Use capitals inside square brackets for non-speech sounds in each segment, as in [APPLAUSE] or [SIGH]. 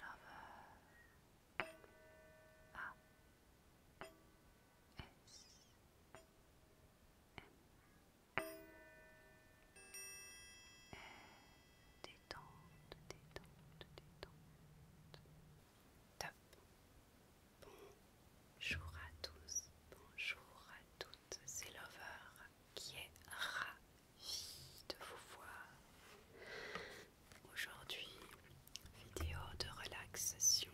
Love A S M e, détente, détente, détente. Top. Bonjour à tous, bonjour à toutes, c'est Lover qui est ra de vous voir. Aujourd'hui, vidéo de relaxation.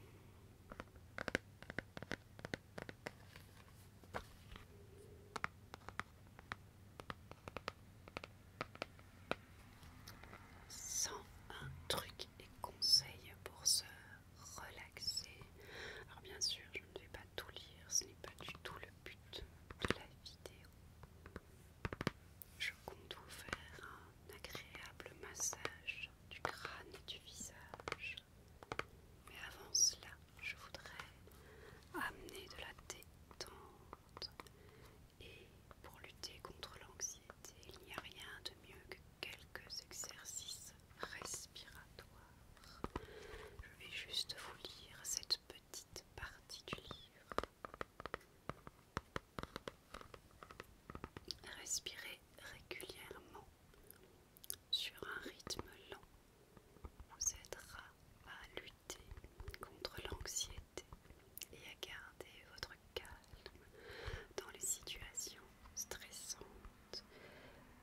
Sans un truc et conseils pour se relaxer. Alors bien sûr, je ne vais pas tout lire, ce n'est pas du tout le but de la vidéo. Je compte vous faire un agréable massage du crâne et du visage. Mais avant cela, je voudrais amener de la détente. Et pour lutter contre l'anxiété, il n'y a rien de mieux que quelques exercices respiratoires. Je vais juste vous lire cette petite petite partie du livre. Respirez régulièrement sur un rythme lent vous aidera à lutter contre l'anxiété et à garder votre calme dans les situations stressantes.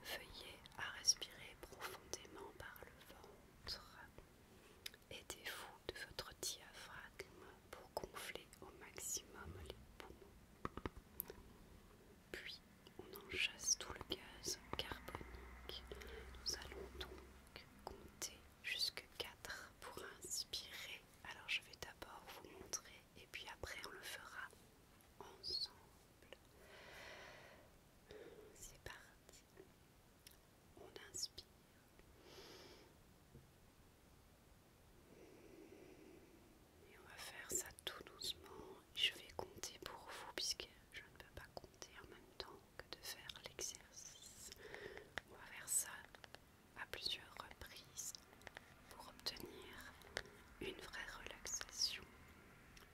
Veuillez à respirer profondément par le ventre Aidez-vous de votre diaphragme pour gonfler au maximum les poumons. Puis on enchasse tout le gaz carbonique. Nous allons donc compter jusque 4 pour inspirer. Alors je vais d'abord vous montrer et puis après on le fera ensemble. C'est parti. On inspire. Et on va faire ça tout doucement. Je vais compter pour vous puisque je ne peux pas compter en même temps que de faire l'exercice. On va faire ça à plusieurs reprises pour obtenir une vraie relaxation.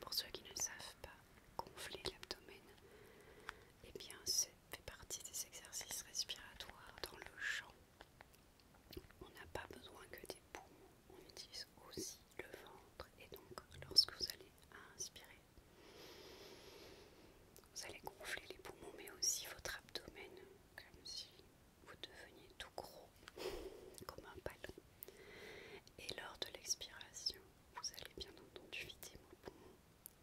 Pour ceux qui ne savent pas, gonfler l'abdomen, et eh bien ça fait partie des exercices respiratoires dans le champ. On n'a pas besoin que des poumons, on utilise aussi le ventre et donc lorsque vous allez inspirer, vous allez gonfler les poumons mais aussi votre abdomen comme si vous deveniez tout gros [LAUGHS] comme un ballon. Et lors de l'expiration, vous allez bien entendu vider vos poumons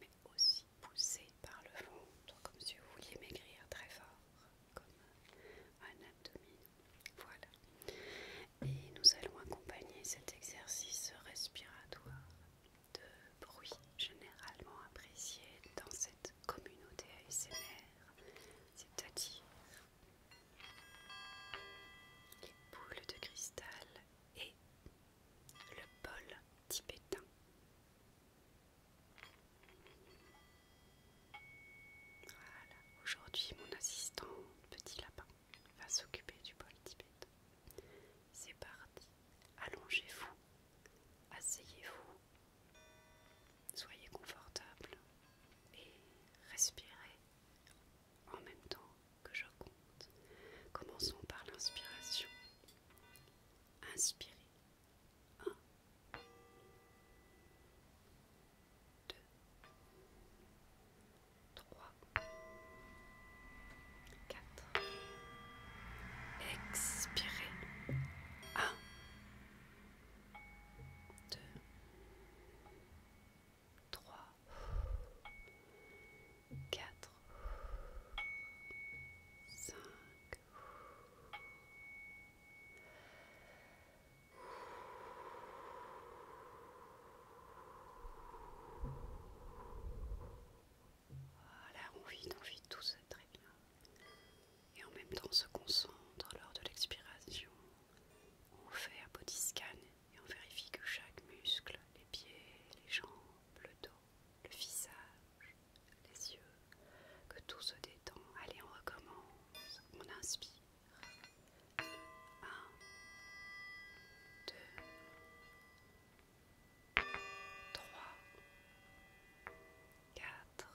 mais aussi poussé par le ventre, comme si vous vouliez maigrir très fort, comme un abdomen. Voilà. Et nous allons accompagner cet exercice respiratoire de bruit généralement apprécié dans cette communauté ASMR, c'est-à-dire les boules de cristal et le bol tibétain. Voilà, aujourd'hui mon assistant petit lapin va s'occuper du bol tibétain. C'est parti, allongez-vous, asseyez-vous, soyez confortable et respirez en même temps que je compte. Commençons par l'inspiration. Inspirez. 1, 2, 3, 4. Expirez. 1, 2, 3, 4, 5. Voilà, on vide, on vide tout ça très bien. Et en même temps, on se concentre lors de l'expiration. On fait un body scan et on vérifie que chaque muscle, les pieds, les jambes, le dos, le visage, les yeux, que tout se détend. Allez, on recommence. On inspire. 1, 2, 3, 4,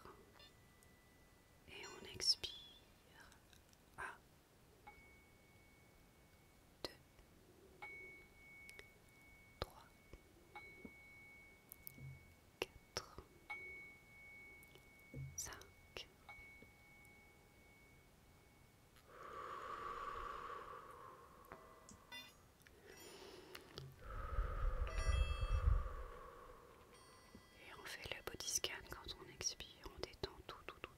et on expire. 1, 2, 3, 4, 5. Et on fait le body scan quand on expire, on détend tout, tout, tout,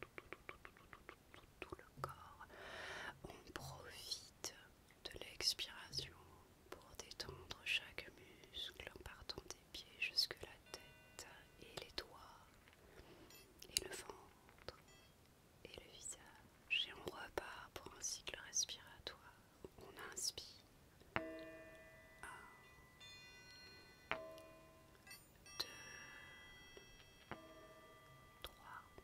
tout, le corps. On profite de l'expiration pour détendre chaque muscle en partant des pieds jusque la tête et les doigts et le ventre et le visage. Et on repart pour un cycle respiratoire. On inspire. 1, 2, 3,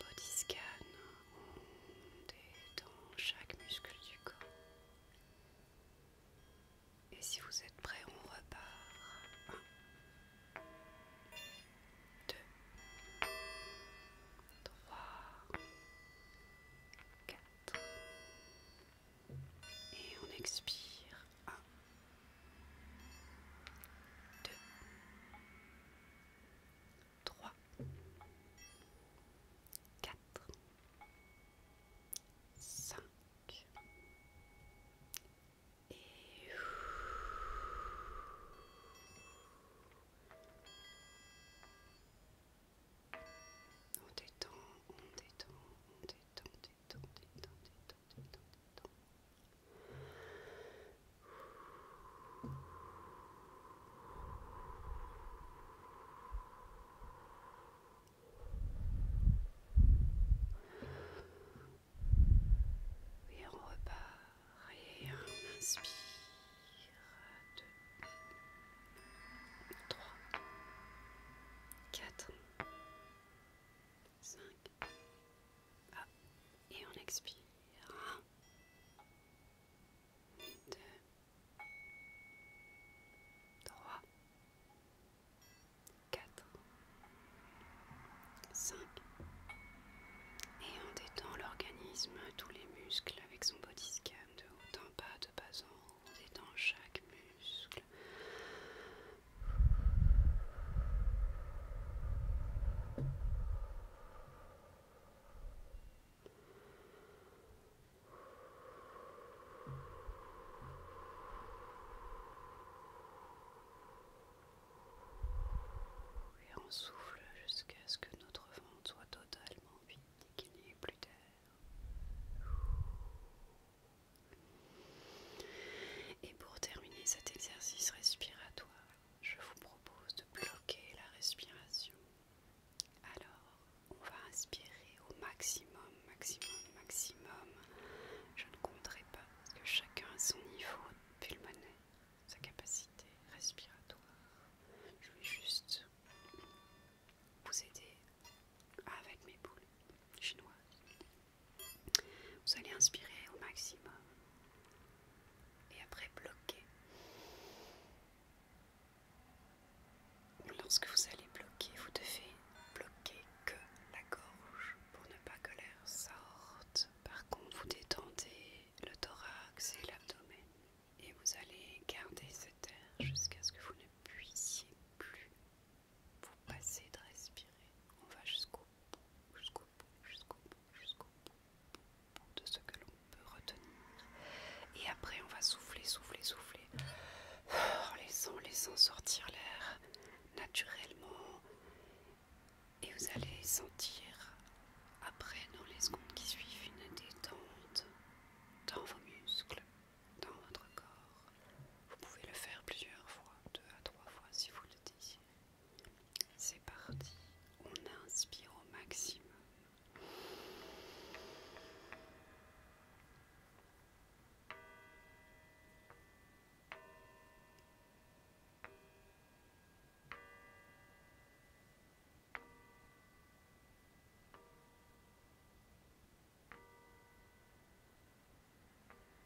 Body scan, on est dans chaque muscle du corps. Et si vous êtes prêt on repart. 1, 2, 3, 4. Et on expire. 1, 2, 3, 4, 5 et on détend, on détend, on détend, détend, détend, détend, détend, détend. Et on repart, et inspire, 3, 4 5. et on expire. 1, 2, 3, 4, 5. Et on détend l'organisme, tous les muscles avec son body scan de haut en bas, de bas en haut. On détend chaque muscle. Et on souffle jusqu'à ce que notre ventre soit totalement vide et qu'il n'y ait plus d'air. Et pour terminer cet exercice respiratoire, je vous propose de bloquer la respiration. Alors, on va inspirer au maximum, maximum, maximum. Je ne compterai pas parce que chacun a son niveau pulmonaire, sa capacité respiratoire. Je vais juste vous aider avec mes boules chinoises. Vous allez inspirer au maximum et après bloquer. Lorsque vous allez bloquer, vous devez bloquer que la gorge pour ne pas que l'air sorte. Par contre, vous détendez le thorax et l'abdomen et vous allez garder cet air jusqu'à ce que vous ne puissiez plus vous passer de respirer. On va jusqu'au jusqu'au bout, jusqu'au bout, jusqu'au bout de ce que l'on peut retenir. Et après, on va souffler, souffler, souffler, en oh, laissant, laissant sortir l'air naturellement. Et vous allez sentir, après, dans les secondes qui suivent, une détente dans vos muscles, dans votre corps. Vous pouvez le faire plusieurs fois, deux à trois fois si vous le désirez. C'est parti, on inspire au maximum.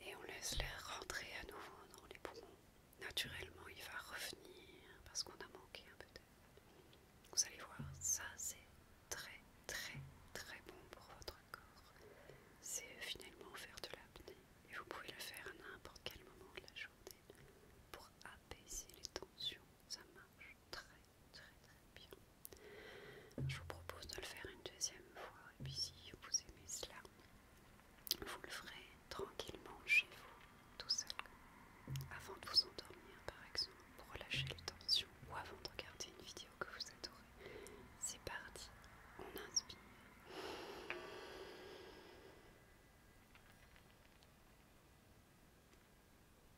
Et on laisse l'air rentrer à nouveau dans les poumons. Naturellement, il va revenir parce qu'on a manqué un peu d'air. Vous allez voir, ça c'est très très très bon pour votre corps. C'est finalement faire de l'apnée. Et vous pouvez le faire à n'importe quel moment de la journée pour apaiser les tensions. Ça marche très très très bien. Je vous propose de le faire une deuxième fois et puis si vous aimez cela, vous le ferez tranquillement chez vous, tout seul, avant de vous endormir par exemple, pour relâcher les tensions ou avant de regarder une vidéo que vous adorez. C'est parti, on inspire.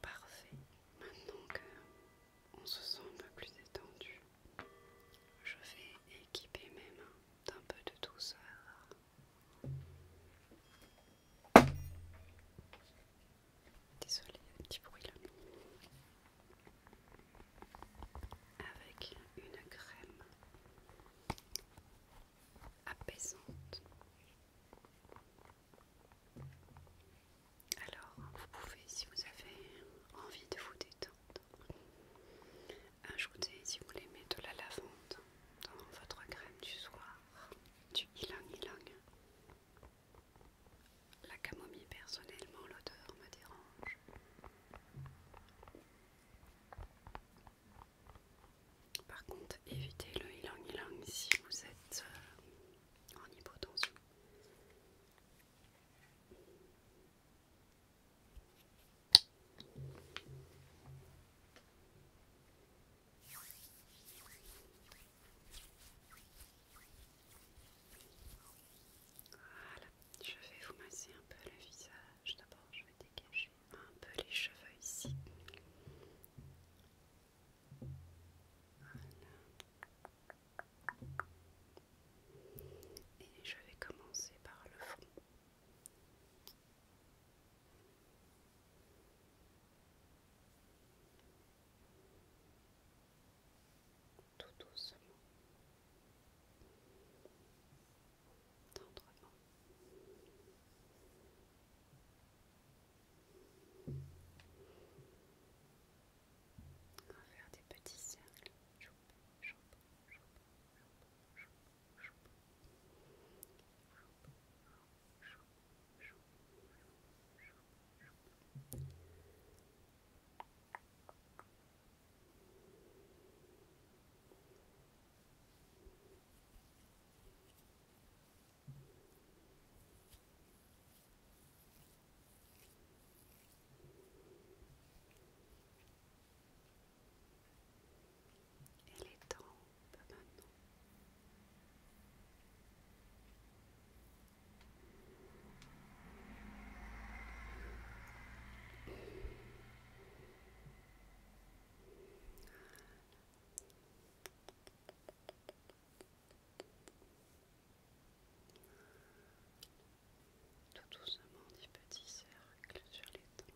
Parfait. Maintenant qu'on se sent un peu plus étendu, je vais équiper mes mains d'un peu de douceur. Désolée, un petit bruit là. Avec une crème apaisante. Alors, vous pouvez, si vous avez envie de vous détendre, ajouter, si vous mettre de la lavande dans votre crème du soir, du ilang ilang. La camomille, personnellement, l'odeur me dérange. Par contre, évitez le ilang ilang si vous êtes euh, en hypotension. Voilà, je vais vous masser un peu le visage. D'abord, je vais dégager un peu les cheveux ici. Et je vais commencer par le front tout doucement tendrement. On va faire des petits cercles. Et les pas maintenant. Tout doucement des petits cercles sur les dents.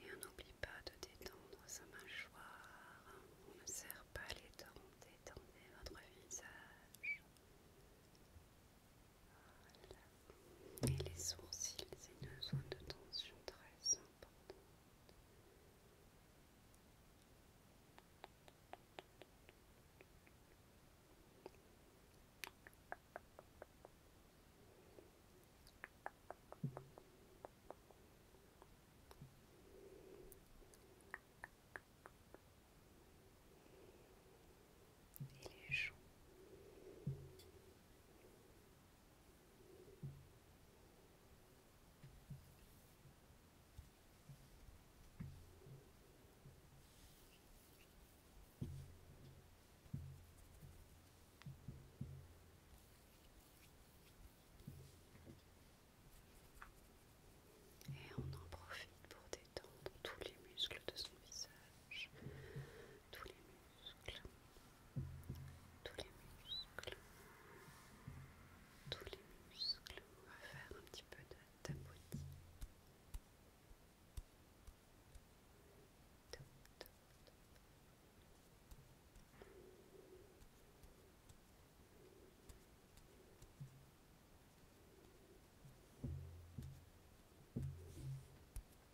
Et on n'oublie pas de détendre sa mâchoire. On ne serre pas les dents, détendez votre visage et les sourcils, c'est une zone de tension très importante. Et les joues. Et on en profite pour détendre tous les muscles de son visage, tous les muscles, tous les muscles. On va faire un petit peu de tapotis.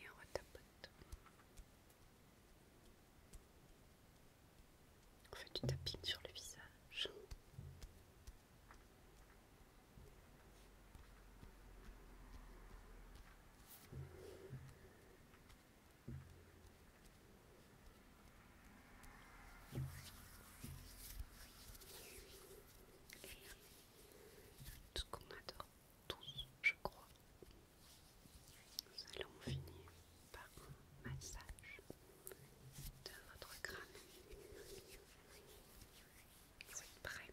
Et on retapote. On fait du tapping sur le visage. Et ce qu'on adore tous, je crois. Nous allons finir par un massage de votre crâne. prêts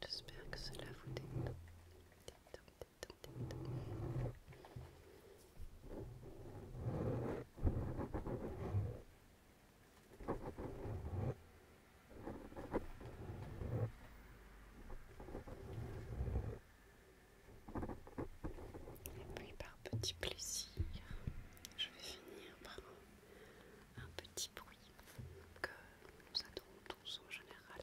J'espère que cela vous détend. Et puis par petit plaisir, je vais finir par un petit bruit que nous adorons tous en général.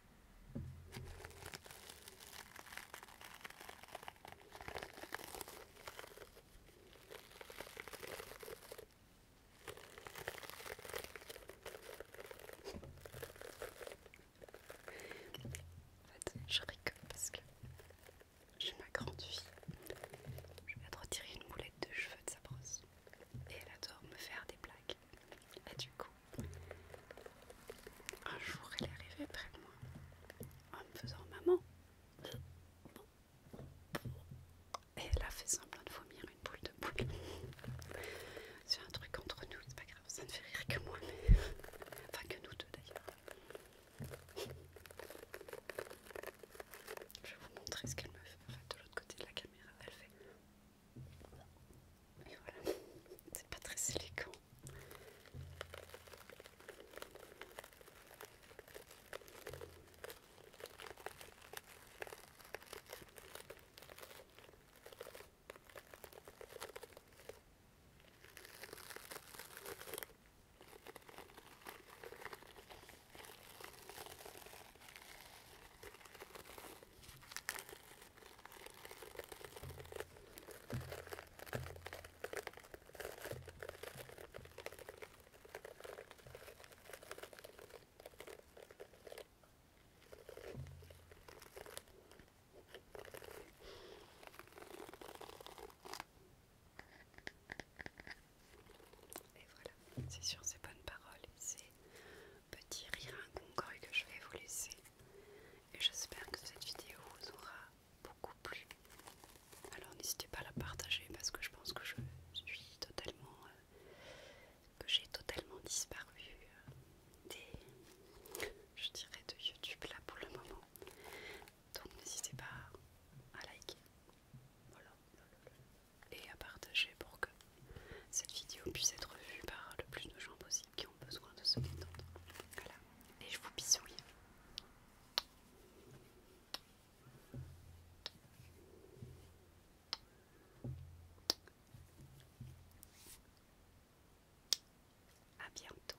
En fait, je rigole parce que j'ai ma grande fille. Je viens de retirer une boulette de cheveux de sa brosse. Et elle adore me faire des blagues. Et du coup, un jour, elle arrivée près de moi en me faisant maman. Et elle a fait semblant de vomir une boule de boule. C'est un truc entre nous, c'est pas grave, ça ne fait rire que moi, Enfin, que nous deux d'ailleurs. Je vais vous montrer ce qu'elle me fait. de l'autre côté de la caméra, elle fait. Et voilà, c'est pas très élégant. Et voilà, c'est sur ces bonnes paroles ces petits rires que je vais vous laisser. Et j'espère que cette vidéo vous aura beaucoup plu. Alors n'hésitez pas à la partager parce que je pense que je suis totalement... Euh, que j'ai totalement disparu euh, des... je dirais de YouTube là pour le moment. Donc n'hésitez pas à liker. Et à partager pour que cette vidéo puisse être vue par le plus de gens possible qui ont besoin de se détendre. Voilà. Et je vous bisous. À bientôt.